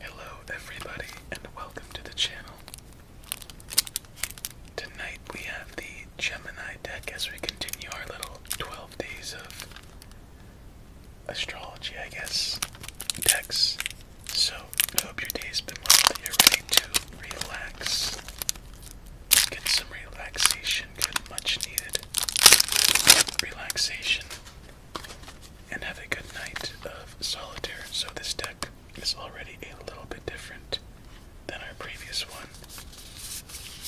Hello, everybody, and welcome to the channel. Tonight we have the Gemini deck as we continue our little 12 days of astrology, I guess, decks. So, I hope your day's been well, that you're ready to relax, get some relaxation, good, much needed relaxation, and have a good night of solitaire. So, this deck is already a little bit different than our previous one.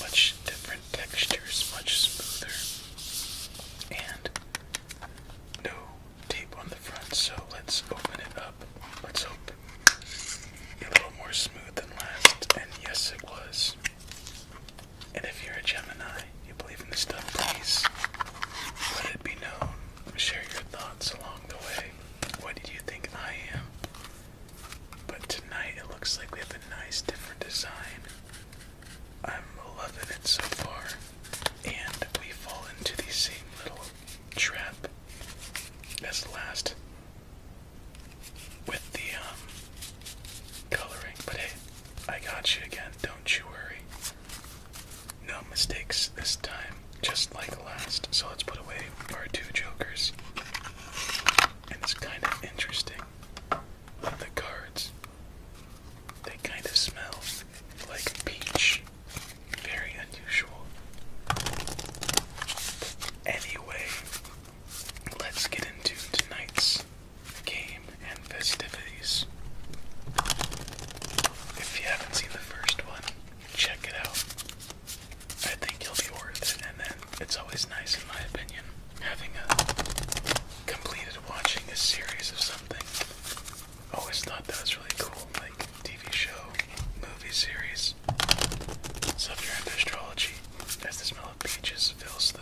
Much different textures, much smoother, and no tape on the front. So, let's open it up. Let's hope a little more smooth than last. And yes, it was. And if you're a Gemini, you believe in this stuff, please let it be known. Share your thoughts along the way. What did you think I am? But tonight it looks like we have a nice different design. I'm loving it so far. And we fall into the same little trap as last with the um, coloring. But hey, I got you again, don't you worry. No mistakes this time, just like last. So let's put away our two jokers. And it's kind of interesting. The cards, they kind of smell like peach. Very unusual. Anyway, let's get into tonight's game and festivities. If you haven't seen the first one, check it out. I think you'll be worth it, and then it's always nice, in my opinion, having a completed watching a series of something. Always thought that was really cool, like TV show, movie series. So if you're into astrology, as the smell of peaches fills the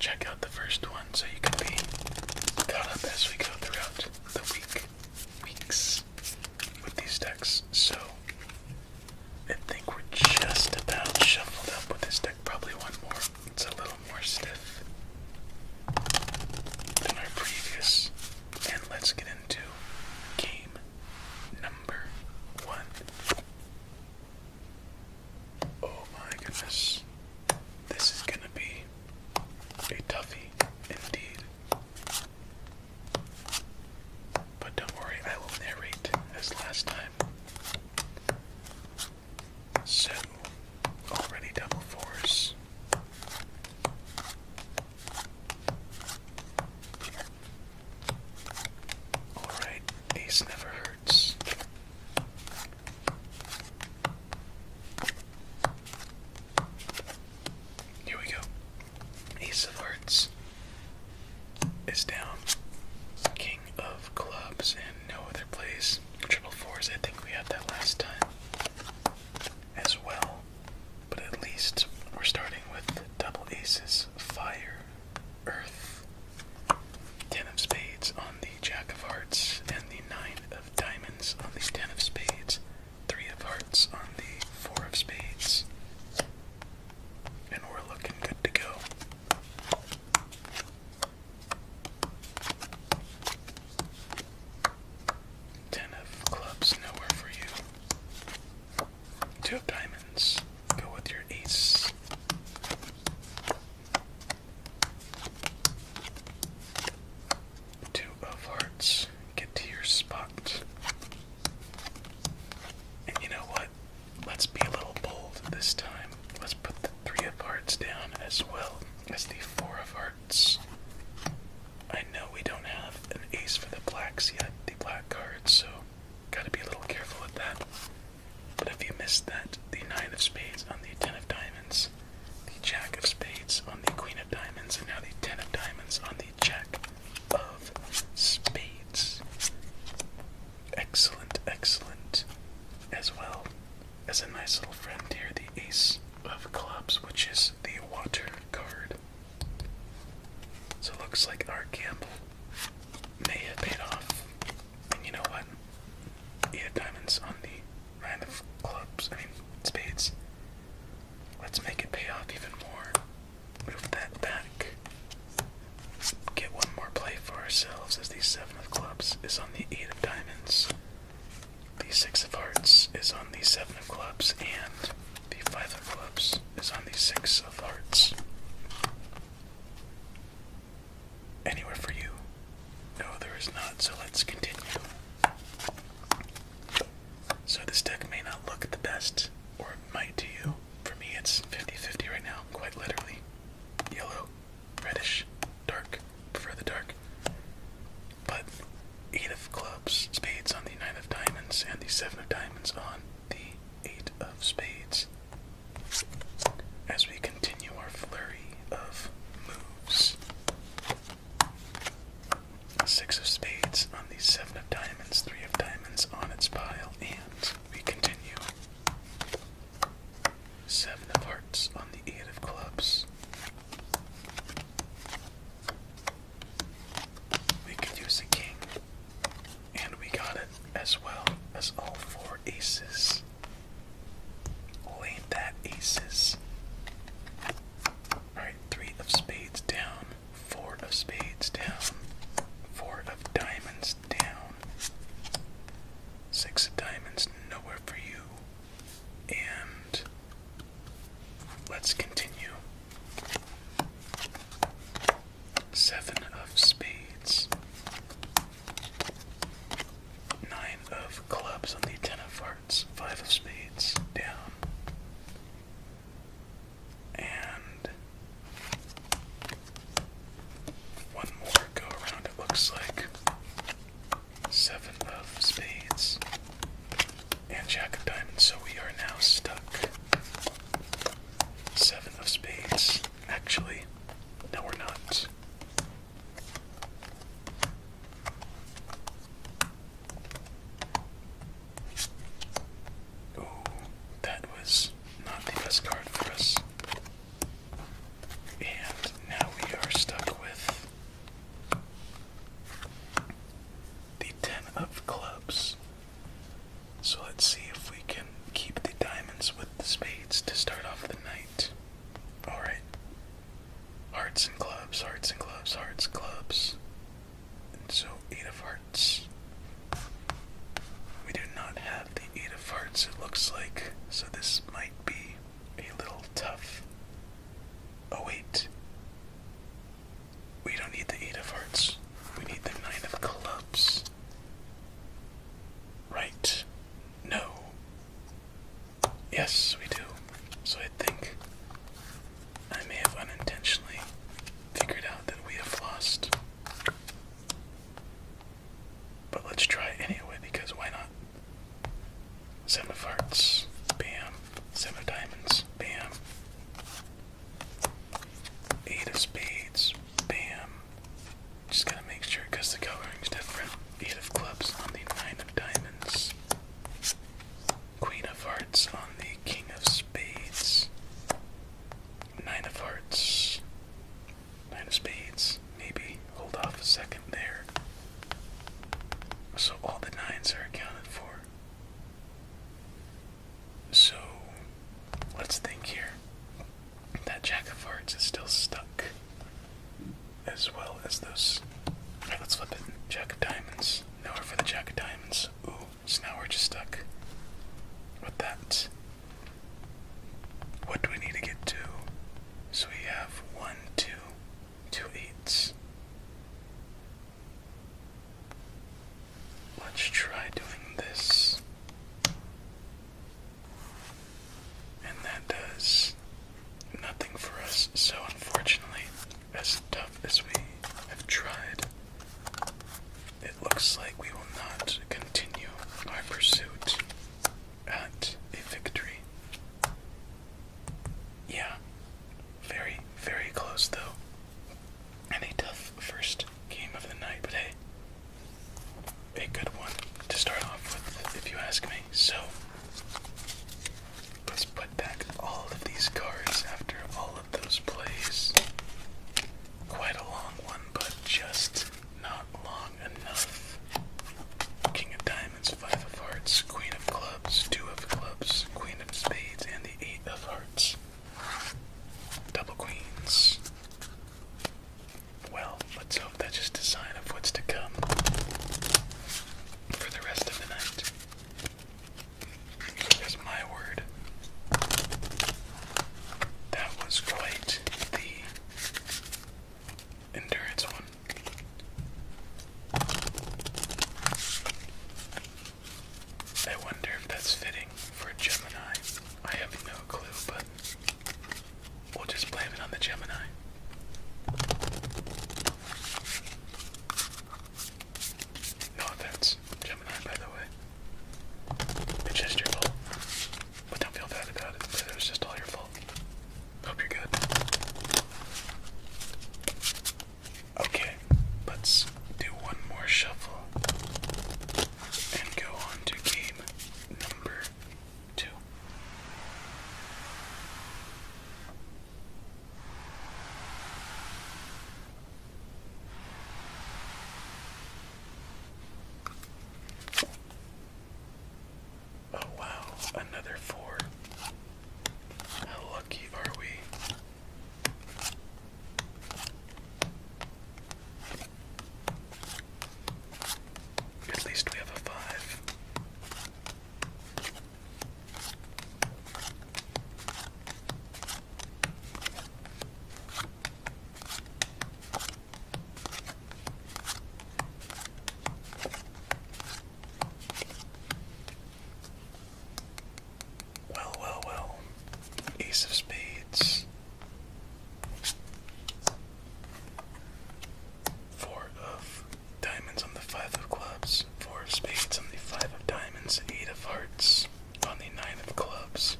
check out the first one so you can be caught up as we go throughout the week, weeks with these decks. So I think we're just about shuffled up with this deck. Probably one more. It's a little more stiff than our previous. And let's get into game number one. Oh my goodness. This is gonna be a toughie indeed. But don't worry, I will narrate as last time. So, already double fours. Alright, ace never hurts. Here we go. Ace of hearts is down. King of clubs and no other plays. Triple fours, I think we had that last time as well. But at least we're starting with double aces, fire, Earth. Ten of Spades on the Jack of Hearts, and the Nine of Diamonds on the Ten of Spades. Three of Hearts on the Four of Spades. And we're looking good to go. Ten of clubs, nowhere for you. Two of diamonds. Go with your ace. Two of hearts. Get to your spot. And you know what? Let's be a little bold this time. Let's put the three of hearts down as well as the four of hearts. I know we don't have an ace for the blacks yet, the black cards, so Gotta be a little careful with that. But if you missed that, the nine of spades on the ten of diamonds, the jack of spades on the queen of diamonds, and now the ten of diamonds on the jack of spades. Excellent, excellent. As well as a nice little friend here, the ace of clubs, which is the water card. So it looks like our gamble may have paid off. And you know what? He had diamonds on the nine of clubs. I mean, spades. Let's make it pay off even more. Move that back. Get one more play for ourselves as the seven of clubs is on the eight of diamonds. The six of hearts is on the seven of clubs and the five of clubs is on the six of hearts. Anywhere for you? No, there is not, so let's continue. So, this deck may not look the best, or it might to you. For me, it's 50 50 right now, quite literally. Yellow, reddish, dark, prefer the dark. But, 8 of clubs, spades on the 9 of diamonds, and the 7 of diamonds on the Eight of Spades. As we continue our flurry of moves, Six of Spades on the Seven of Diamonds, Three of Diamonds on its pile, and we continue. Seven of Hearts on the Eight of Clubs. We could use a king. And we got it as well as all four aces. Oh, that aces? Alright, three of spades down, four of spades down, four of diamonds down, six of diamonds nowhere for you. And let's continue Seven of spades. Nine of clubs on the ten of hearts. Five of spades down. And one more go around, it looks like. Seven of spades and Jack of Diamonds, so we are now stuck. Seven of Spades. Actually, no, we're not. Oh, that was not the best card for us. And now we are stuck with the Ten of Clubs. So let's see if we can keep the diamonds with the spades to start off the night. Alright. Hearts and clubs, hearts and clubs, hearts, clubs. so, eight of hearts. We do not have the eight of hearts, it looks like, so this might be a little tough. Oh, wait. We don't need the eight of hearts. We need the nine of clubs. Right? No. Yes, we do. So I think I may have unintentionally figured out that we have lost. But let's try anyway because why not? Seven of hearts, bam. Seven of diamonds, bam. Eight of spades. Bam. Just gotta make sure because the coloring's different. Eight of clubs on the nine of diamonds. Queen of hearts on the king of spades. Nine of hearts. Nine of spades. Maybe hold off a second there. So all the nines are accounted for. So let's think here. That Jack of Hearts is still stuck, as well as those. Alright, let's flip it. Jack of Diamonds. Now we're for the Jack of Diamonds. Ooh, so now we're just stuck with that. What do we need to get to? So we have one, two, two eights. Let's try doing this. And that does nothing for us, so unfortunately, as tough as we have tried, it looks like we will not continue our pursuit at a victory. Yeah, very, very close though. And a tough first game of the night, but hey, a good one to start off with, if you ask me. So, let's put back all of these cards after all of those plays. Quite a long one, but just not long enough. King of Diamonds, Five of Hearts, Queen of Clubs, Two of Clubs, Queen of Spades, and the Eight of Hearts. Double queens. Well, let's hope that's just a sign of what's to come for the rest of the night. There's my word. That was quite the endurance one. I wonder if that's fitting for Gemini. I have no clue, but we'll just blame it on the Gemini. No offense, Gemini, by the way. It's just your fault. But don't feel bad about it, it was just all your fault. Hope you're good. Okay, let's do one more shuffle and go on to game number two. Oh, wow, another four. How lucky are we? At least we have a five. Well, well, well. Ace of Spades. Four of Diamonds on the Five of Clubs. Four of Spades on the Five of Diamonds. Eight of Hearts on the Nine of Clubs.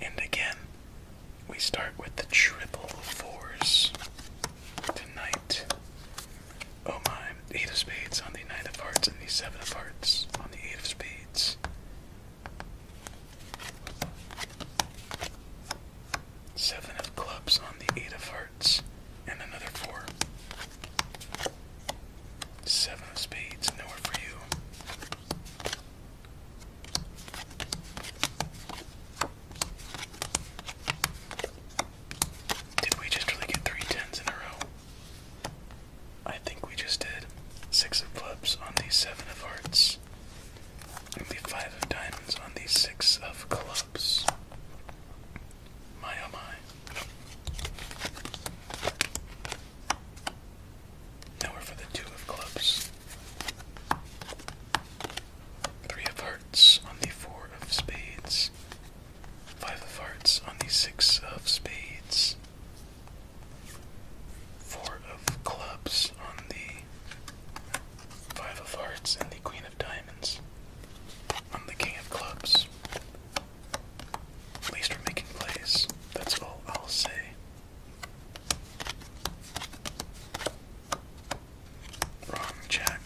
And again, we start with the triple fours tonight. Oh my. Eight of spades on the nine of hearts and the seven of hearts on the eight of spades. Seven of clubs on the eight of hearts and another four. Seven of spades, nowhere for you. Did we just really get three tens in a row? I think we just did. Six of clubs on the seven of hearts. the five of diamonds on the six of clubs. My oh my. Now we're for the two of clubs. Three of hearts on the four of spades. Five of hearts on the six of spades. Four of clubs on the five of hearts and the queen of diamonds on the king of clubs. At least we're making plays. That's all I'll say. Wrong check.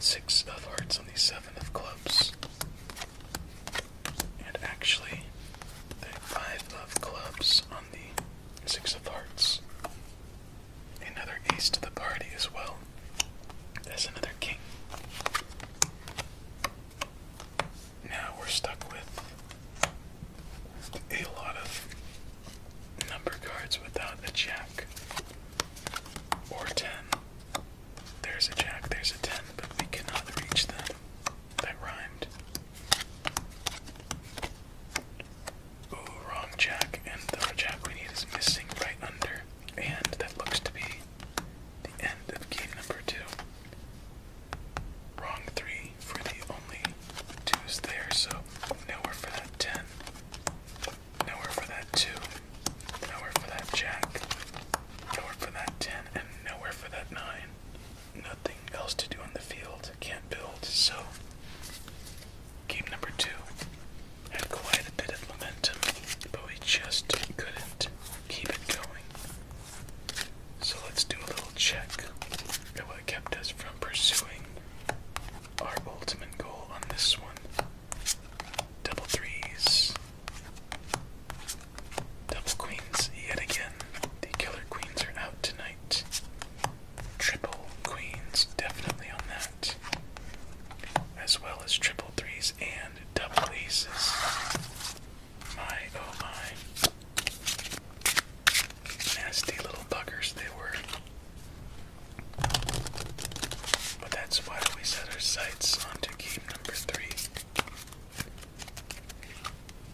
Six of hearts on the seven of clubs. And actually, the five of clubs on the six of hearts. Another ace to the party as well. As another king. Now we're stuck with a lot of number cards without a jack. Or 10. There's a jack, there's a 10, but we cannot reach them. That rhymed. Ooh, wrong jack, and the jack we need is missing right under. And that looks to be the end of game number two. Wrong three for the only two is there, so nowhere for that ten. Nowhere for that 2. Nowhere for that jack. Nowhere for that 10. And nowhere for that 9. Nothing else to do on the field. Can't build. So, game number 2 had quite a bit of momentum, but we just couldn't keep it going. So, let's do a little check of what kept us from pursuing our ultimate goal on this one. Double threes. Double queens yet again. The killer queens are out tonight. Triple queens, definitely on that. As well as triple threes and double aces. My oh my. Nasty little buggers they were. But that's why we set our sights on to game number three.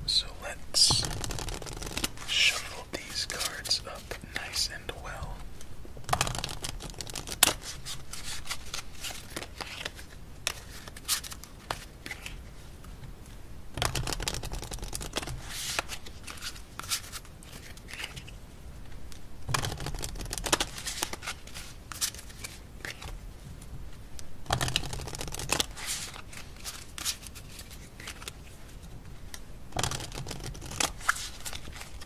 So let's shuffle these cards up nice and well.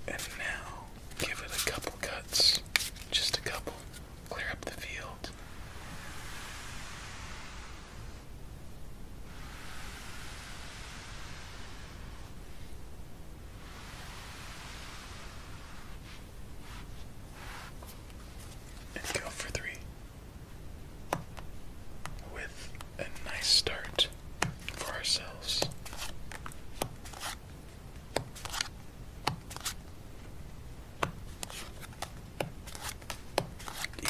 And now give it a couple cuts, just a couple, clear up the field let go for three. With a nice start for ourselves.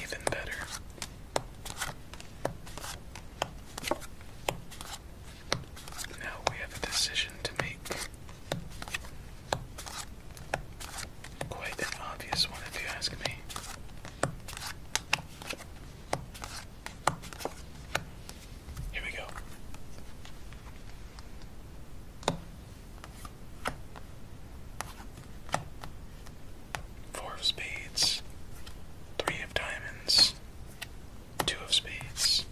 Even better. Now we have a decision to make. Quite an obvious one, if you ask me. Here we go. Four of spades, three of diamonds, two of spades,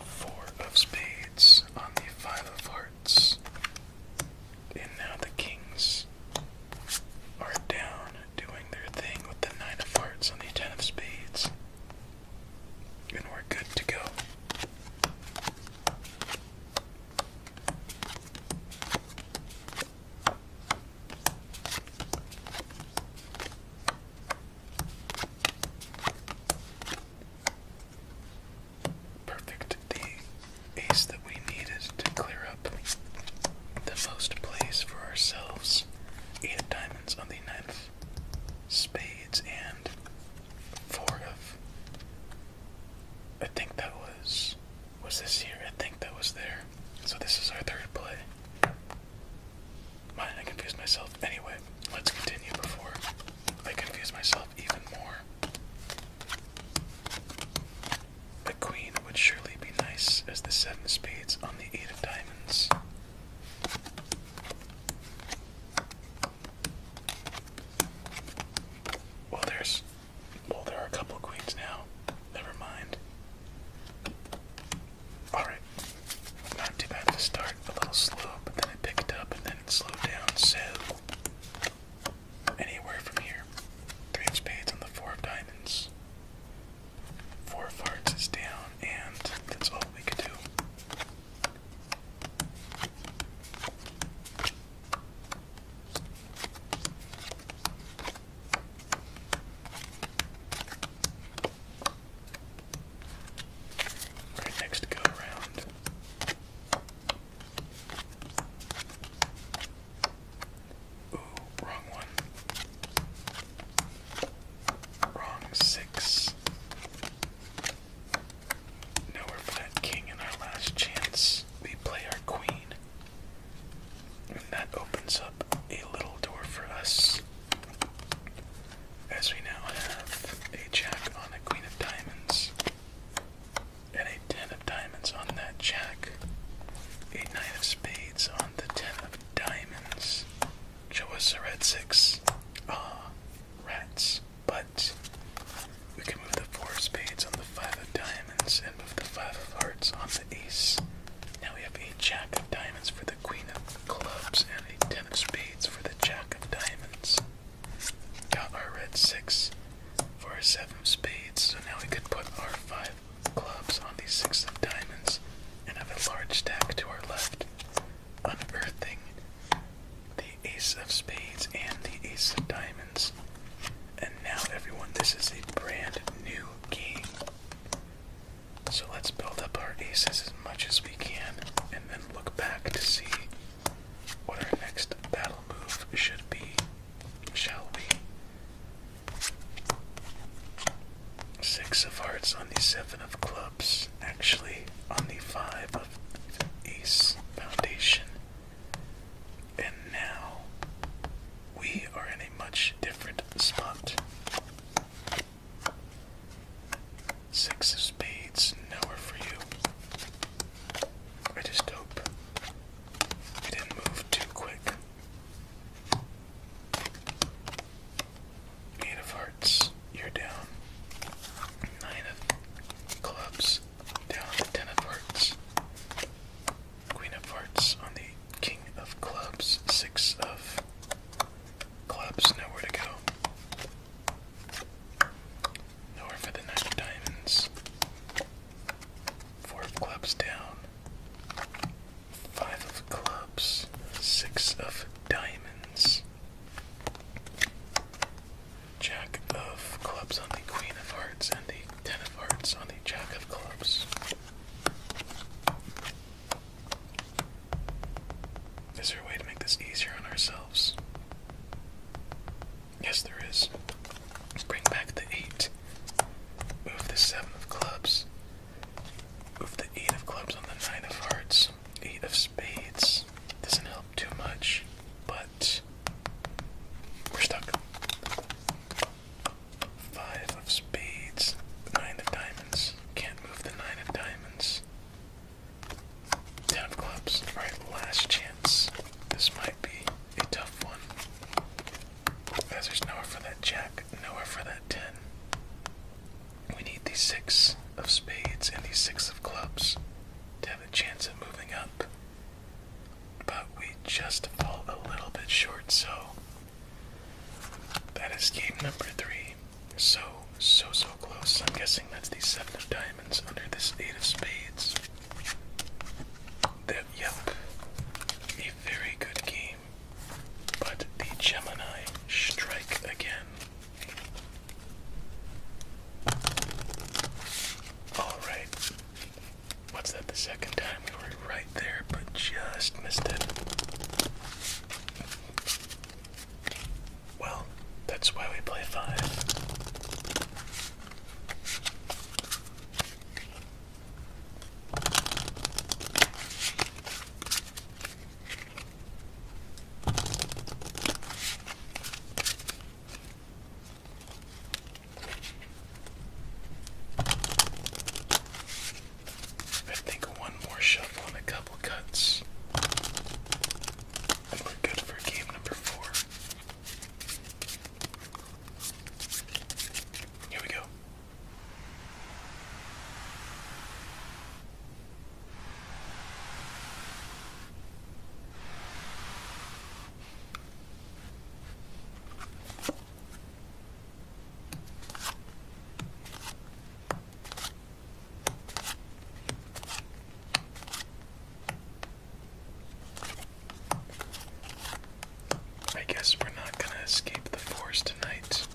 four of spades on the five of hearts, and now the kings are down doing their thing with the nine of hearts on the ten of spades, and we're good to go. Perfect. The ace that we need is to clear up the most place for ourselves. Eight diamonds on the ninth, spades, and four of. I think that was was this here? I think that was there. So this is our third play. Mine, I confuse myself. Anyway, let's continue before I confuse myself even more. The queen would surely be nice as the seven spades on the eight of diamonds. Well, there's well, there are a couple queens now. Never mind. Alright. Not too bad to start. A little slow, but then I picked up and then it slowed down, so. Anywhere from here. Three of spades on the four of diamonds. Four of hearts is down, and that's all we could do next go around. Ooh, wrong one. Wrong six. Now we're flat king in our last chance. We play our queen. And that opens up a little door for us. As we now have a jack on a queen of diamonds, and a ten of diamonds on that jack, a nine of spades on the ten of diamonds. Show us a red six. Ah, rats. But we can move the four of spades on the five of diamonds and move the five of hearts on the ace. Now we have a jack of diamonds for the queen of clubs and a ten of spades for the jack of diamonds. Got our red six for our seven of spades, so now we could put our five clubs on these six of diamonds and have a large stack to our left, unearthing the ace of spades and the ace of diamonds. And now, everyone, this is a brand new game. So let's build up our aces as much as we can and then look back to see what our next battle move should be, shall we? Six of hearts on the seven of clubs, actually, on the five of ace foundation. And now we are in a much different spot. Six of spades, nowhere for you. I just hope we didn't move too quick. Eight of hearts, you're down. Nine of clubs, down on the ten of hearts. Queen of hearts on the king of clubs. Six of clubs, nowhere to go. Nowhere for the nine of diamonds. Four of clubs down. Five of clubs. Six of diamonds. Jack of clubs on the Queen of Hearts and the Ten of Hearts on the Jack of clubs. Is there a way to make this easier on ourselves? Yes, there is. Bring back the 8. Move the 7 of clubs. Move the 8 of clubs on the 9 of hearts. 8 of spades. Doesn't help too much, but we We're stuck. Five of spades. Nine of diamonds. Can't move the nine of diamonds. Ten of clubs. Alright, last chance. This might be a tough one. As there's nowhere for that jack, nowhere for that ten. We need these six of spades and these six of clubs to have a chance of moving up but we just fall a little bit short, so that is game number three. So, so, so close. I'm guessing that's the seven of diamonds under this eight of spades. That, yep, a very good game. But the Gemini strike again. Alright. What's that? The second time we were right there, but just missed it. Well, that's why we play five. I think one more shuffle and a couple cuts. And we're good for game number four. Here we go. I guess we're not going to escape the forest tonight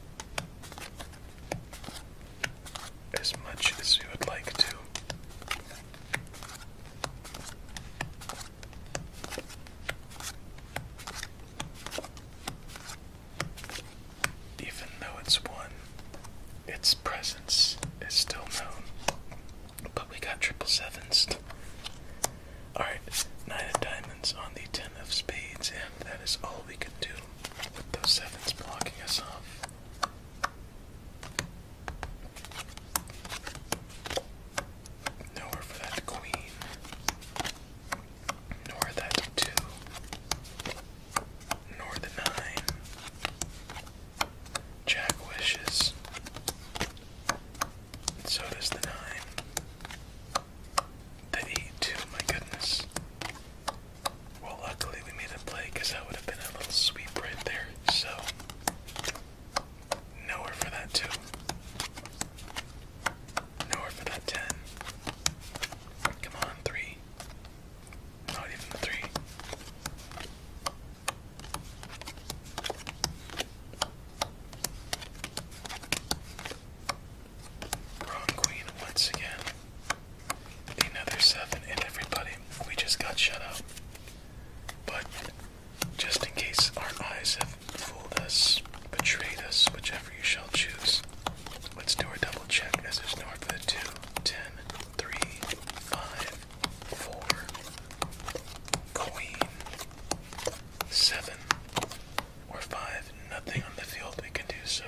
as much as we would like to. Even though it's one, its presence is still known. But we got triple sevens. Alright, nine of diamonds on the ten of spades, and that is all we can do with those sevens blocking us off. Nowhere for that queen. Nor that two. Nor the nine. Jack wishes. so does the nine. The eight too, my goodness. Well, luckily we made a play that would have been a little sweep right there. So, nowhere for that 2. Nowhere for that 10. Come on, 3. Not even 3. Wrong queen once again another seven, and everybody, we just got shut out. But just in case our eyes have fooled us, betrayed us, whichever you shall choose, let's do our double check as there's no for the two, ten, three, five, four, queen, seven, or five, nothing on the field we can do so.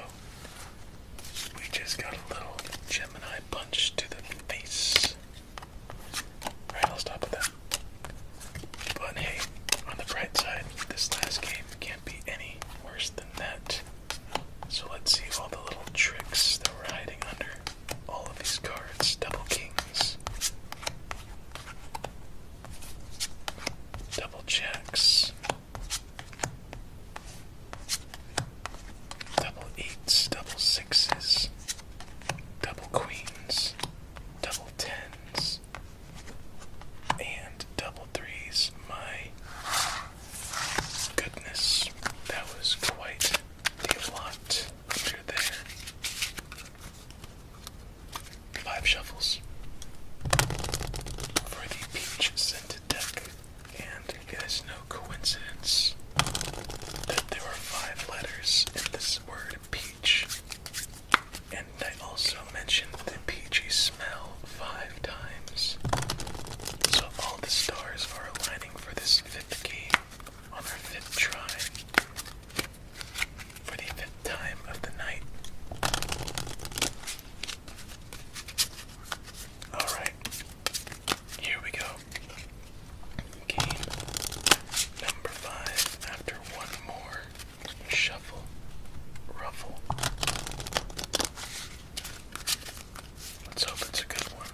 We just got a little Gemini punch to the face. Alright, I'll stop with that. But hey, on the bright side, this last game can't be any worse than that. So let's see all the little tricks that we're hiding under all of these cards. Double kings, double jacks, Double eights, double sixes, double queens, double tens, and double threes. My goodness, that was quite a lot under there. Five shuffles for the peach scented deck. And it is no coincidence that there are five letters in this word peach. And I also mentioned the peachy smell five times. So all the stars are aligning for this fifth key on our fifth try. For the fifth time of the night. Alright, here we go. Game number five after one more shuffle, ruffle. Let's hope it's a good one.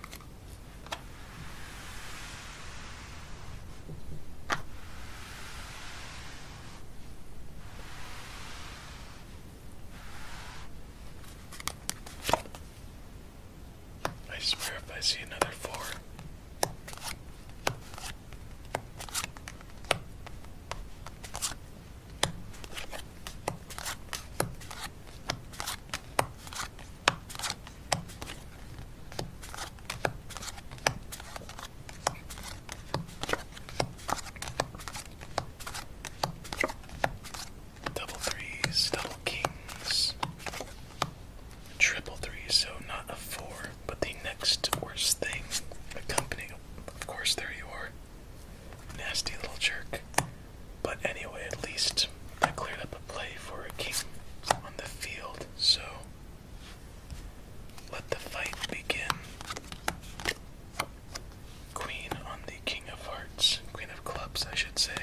I swear if I see another four. Double threes, double kings, triple threes, so not a four, but the next worst thing accompanying. Of course, there you are. Nasty little jerk. But anyway, at least I cleared up a play for a king on the field, so let the fight begin queen on the king of hearts, queen of clubs, I should say.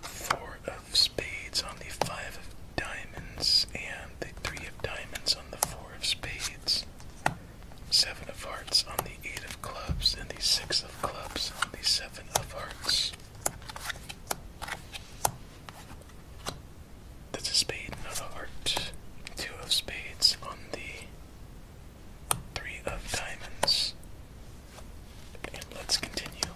Four of spades on the five of diamonds, and the three of diamonds on the four of spades. Seven of hearts on the eight of clubs, and the six of clubs on the seven of hearts. That's a spade, not Two of spades on the Three of diamonds. let's continue.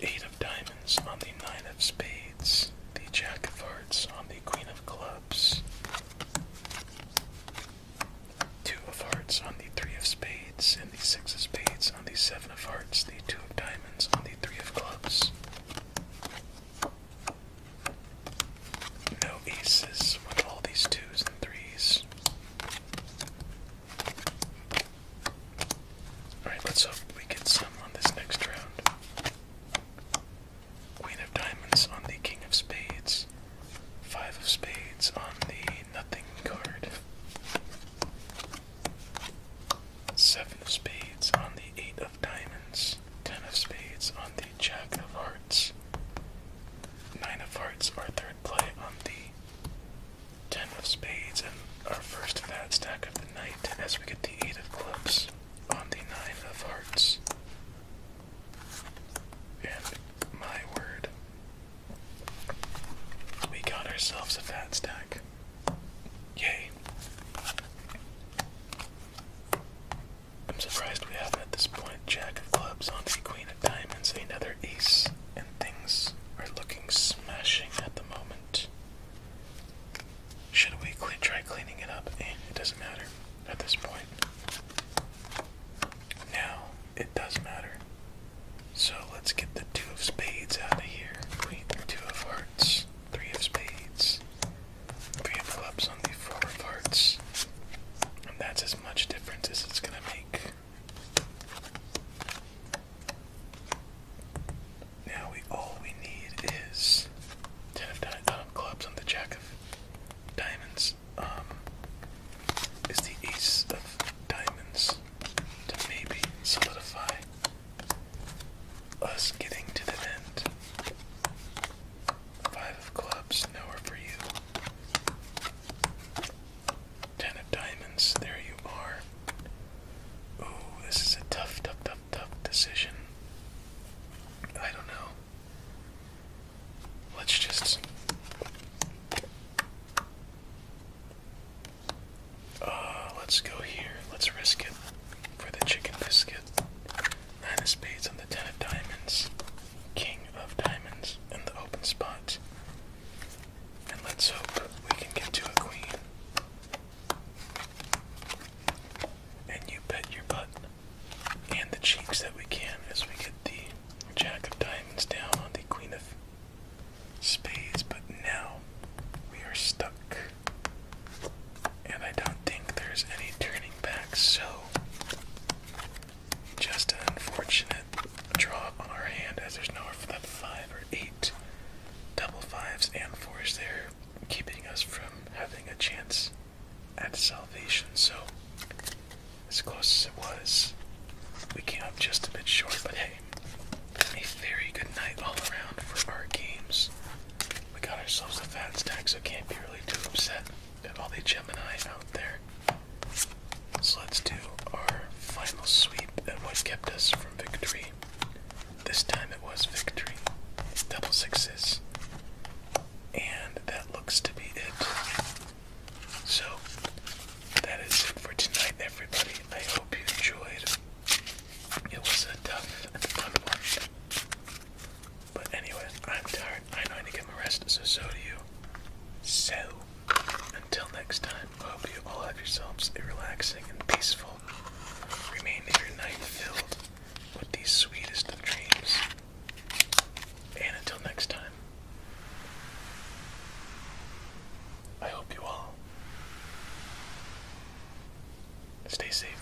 Eight of diamonds on the nine of spades. The jack of hearts on the queen of clubs. Two of hearts on the three of spades. And the six of spades on the seven of hearts. The two of diamonds on the three of clubs. No aces with all these twos and threes. Alright, let's hope we get some on this next round. Queen of Diamonds on the King of Spades. Five of Spades on the Nothing card. Seven of spades on the eight of diamonds. Ten of spades on the jack of hearts. Nine of hearts, our third play on the ten of spades, and our first fat stack of the night as we get the eight of clubs on the nine of hearts. And my word, we got ourselves a fat stack. Yay! I'm surprised we have at this point Jack of clubs on the Queen of diamonds, another ace, and things are looking smashing at the moment. Should we try cleaning it up? Eh, it doesn't matter at this point. Now it does matter. So let's get the two of spades out of here. Queen, two of hearts three of spades, three of clubs on the four of hearts. And that's as much difference as it's gonna make. Now we all we need is ten of diamond um, clubs on the jack of diamonds. Um, is the ace of diamonds to maybe solidify us getting to the end. Five of clubs, nowhere for you. Ten of diamonds, there you are. Ooh, this is a tough, tough, tough, tough decision. I don't know. Let's just uh, let's go here. Let's risk it for the chicken biscuit. Nine of spades on the ten of diamonds. King of diamonds in the open spot. And let's hope we can get to a queen. And you bet your butt and the cheeks that we can as we get the jack of diamonds down on the queen of space, but now we are stuck. And I don't think there's any turning back, so just an unfortunate draw on our hand as there's nowhere for that five or eight double fives and fours there, keeping us from having a chance at salvation. So, as close as it was, we came up just a bit short, but hey, a very good night all around for our games. We got ourselves a fat stack, so can't be really too upset at all the Gemini out there. So let's do our final sweep at what kept us from victory. This time it was victory. Double sixes. And that looks to be it. So, that is it for tonight, everybody. I hope you enjoyed it was a tough and fun one. But anyway, I'm tired. I know I need to get my rest, so so do you. So, until next time, I hope you all have yourselves a relaxing and peaceful remainder your night filled with these sweetest of dreams. And until next time, I hope you all Stay safe.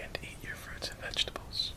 And eat your fruits and vegetables.